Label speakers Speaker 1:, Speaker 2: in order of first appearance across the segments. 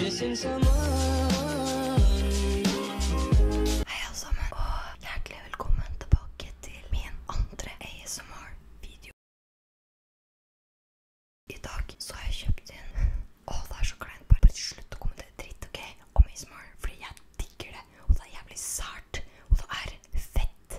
Speaker 1: Missing someone. Hei alle sammen, og hjertelig velkommen tilbake til min andre ASMR-video. I dag så har jeg kjøpt inn å, det er så kleint. Bare, bare slutt å kommentere dritt, OK? Om ASMR. Fordi jeg digger det. Og det er jævlig sært. Og det er fett.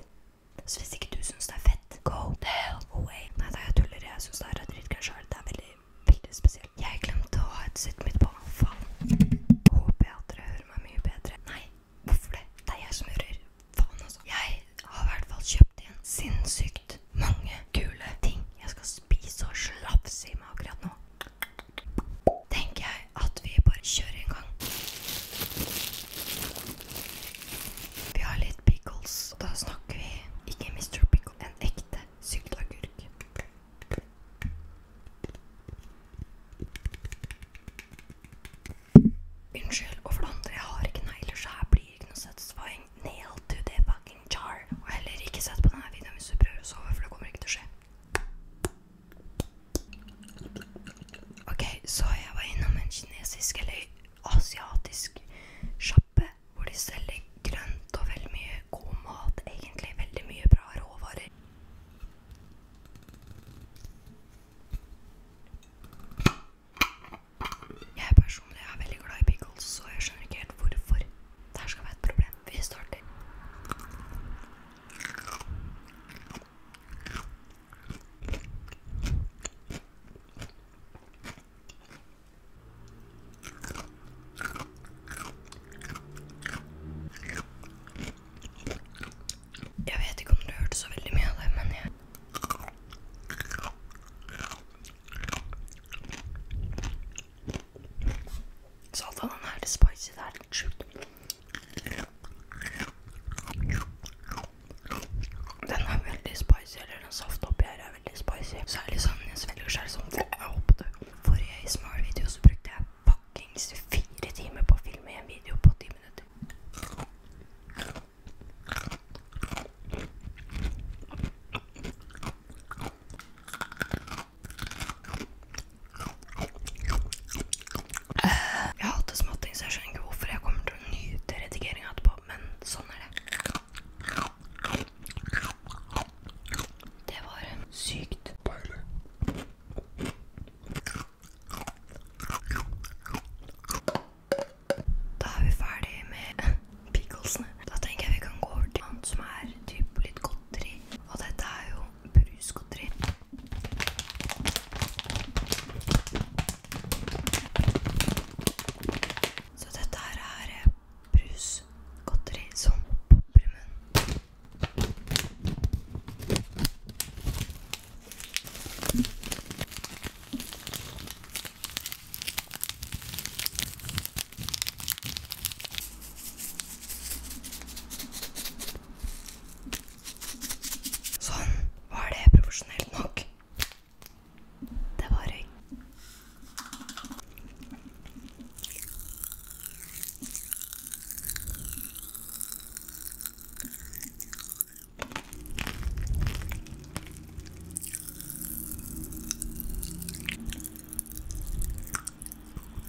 Speaker 1: Så hvis ikke du syns det er fett, go the hell away. Nei, det er jeg tuller. Jeg syns det er dritgøy sjøl. Det er veldig, veldig spesielt. Jeg glemte å ha headsetet mitt på. Faen. Håper jeg at dere hører meg mye bedre. Nei, hvorfor det? Det er jeg som hører. Faen, altså. Jeg har i hvert fall kjøpt en sinnssykt mange kule ting jeg skal spise og slafse i meg akkurat nå. Tenker jeg at vi bare kjører en gang. Vi har litt pickles. og Da snakker vi ikke Mr. Pickle, en ekte sylteagurk. Unnskyld, og for det andre, jeg har ikke negler, så her blir det ikke noe søtsvaiing nail to the fucking jar. Og heller ikke sett på denne videoen hvis du prøver å sove, for det kommer ikke til å skje. Ok, så jeg var innom en kinesisk eller asiatisk sjappe hvor de selger grønt og veldig mye god mat. Egentlig veldig mye bra råvarer. Jeg personlig er veldig glad i pickles, så jeg skjønner ikke helt hvorfor det her skal være et problem. Vi starter. Jeg vet ikke om du hørte så veldig mye av det, men jeg Salatadan her, spicy. Det er litt sjukt. Den er veldig spicy, eller den safta oppi her er veldig spicy. Særlig sånn jeg svelger sjøl sånn. Jeg håpet det. Forrige ASMR-video så brukte jeg fuckings fire timer på å filme en video på ti minutter. Jeg hater småting, så jeg skjønner ikke hvorfor jeg kommer til å nyte redigeringa etterpå, men sånn er det. Det var sykt deilig. Da er vi ferdig med picklesene. Da tenker jeg vi kan gå over til noe som er typ litt godteri. Og dette er jo brusgodteri. Så dette her er eh, brusgodteri som popper i munnen. Sånn. Var det profesjonelt nok? Det var jeg.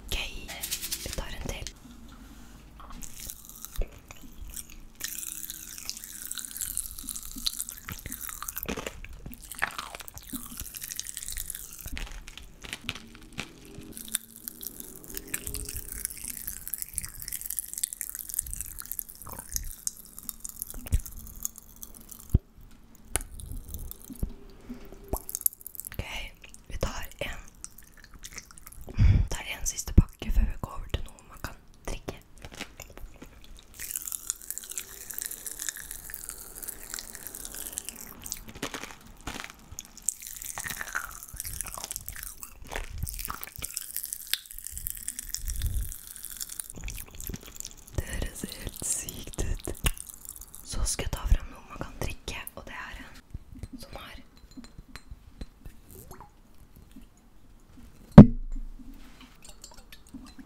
Speaker 1: Ok, vi tar en til. OK, vi tar en tar en siste pakke før vi går over til noe man kan drikke. Det høres er helt sykt ut. Så skal jeg ta frem noe man kan drikke, og det er en sånn her.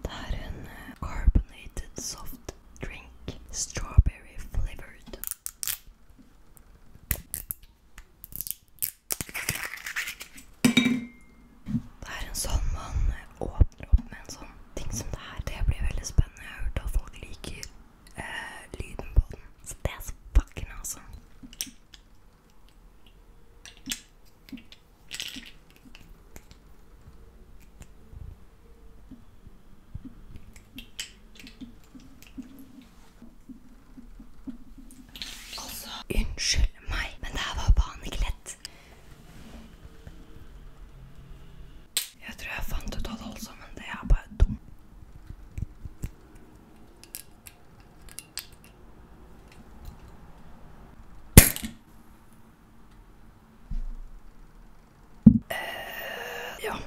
Speaker 1: Det er eh, carbonated soft drink. Strawberry flavored. Det er en sånn man åpner opp med en sånn ting som det her. Det blir veldig spennende. Jeg har hørt at folk liker eh, lyden på den. Så det er så fucking awesome. Altså, unnskyld meg, men det her var faen ikke lett. Jeg tror jeg fant ut av det også, men det er bare dumt. Uh, ja,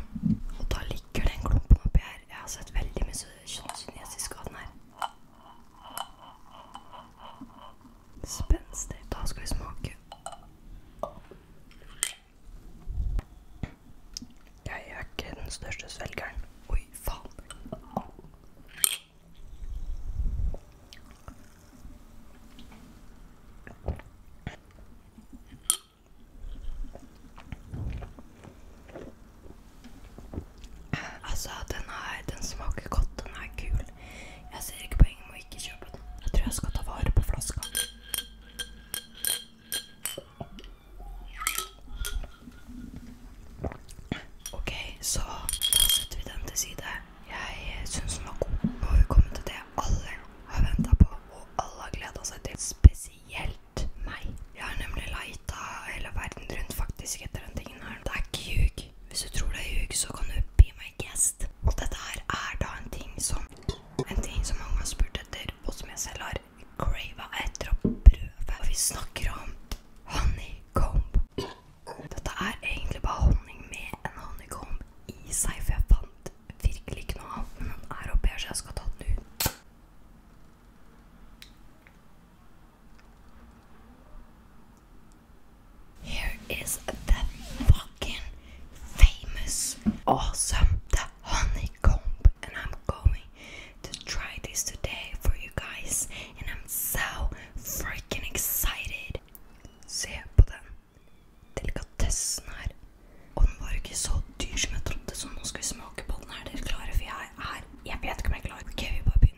Speaker 1: og da ligger den klumpen oppi her. Jeg har sett veldig mye kinesisk han er. Spenstig. Da skal vi smake. Jeg er ikke den største svelgeren. Oi, faen. Altså, den, er, den smaker godt. Den er kul. Jeg ser ikke poenget med å ikke kjøpe den. Jeg tror jeg skal ta vare på flaska. Ok, så da setter vi den til side. Jeg syns den var god. Nå har vi kommet til det alle har venta på, og alle har gleda seg til. Spesielt lurt meg. Jeg har nemlig leita hele verden rundt faktisk etter den tingen her. Det er ikke ljug. Hvis du tror det er ljug, så kan du be meg guest. Og dette her er da en ting som En ting som mange har spurt etter, og som jeg selv har crava etter å prøve. Og vi snakker om honeycomb. Dette er egentlig bare honning med en honeycomb i seg, for jeg fant Er here is the fucking famous, awesome, the honeycomb, and I'm going to try this today for you guys, and I'm so freaking excited. Se på den. delikatessen her. Og den var ikke så dyr som jeg trodde, så nå skal vi smake på den. Er dere klare? For jeg er Jeg vet ikke om jeg er klar. Ok, vi bare begynner.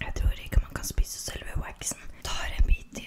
Speaker 1: Jeg tror ikke man kan spise selve waxen. Tar en bit til.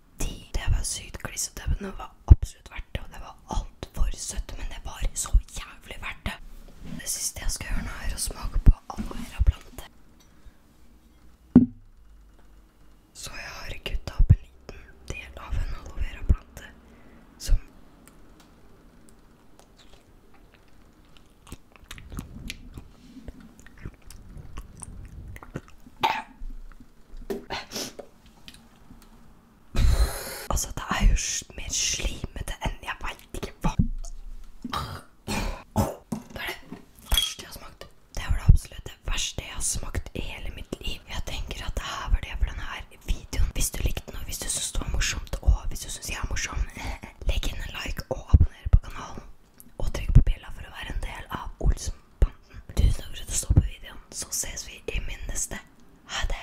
Speaker 1: de. Det var sykt klissete, men det var absolutt verdt det. Og det var altfor søtt, men det var så jævlig verdt det. Det siste jeg skal gjøre nå, er å smake på aloe vera-plante. Så jeg har kutta opp en liten del av en aloe vera-plante som Altså, det er jo mer slimete enn Jeg veit ikke hva Det er det verste jeg har smakt. Det var det absolutt det verste jeg har smakt i hele mitt liv. Jeg tenker at det her var det for denne her videoen. Hvis du likte den, og hvis du syns det var morsomt, og hvis du syns jeg er morsom, legg inn en like og abonner på kanalen. Og trykk på bjella for å være en del av Olsenbanden. Tusen takk for at du så på videoen. Så ses vi i min neste. Ha det!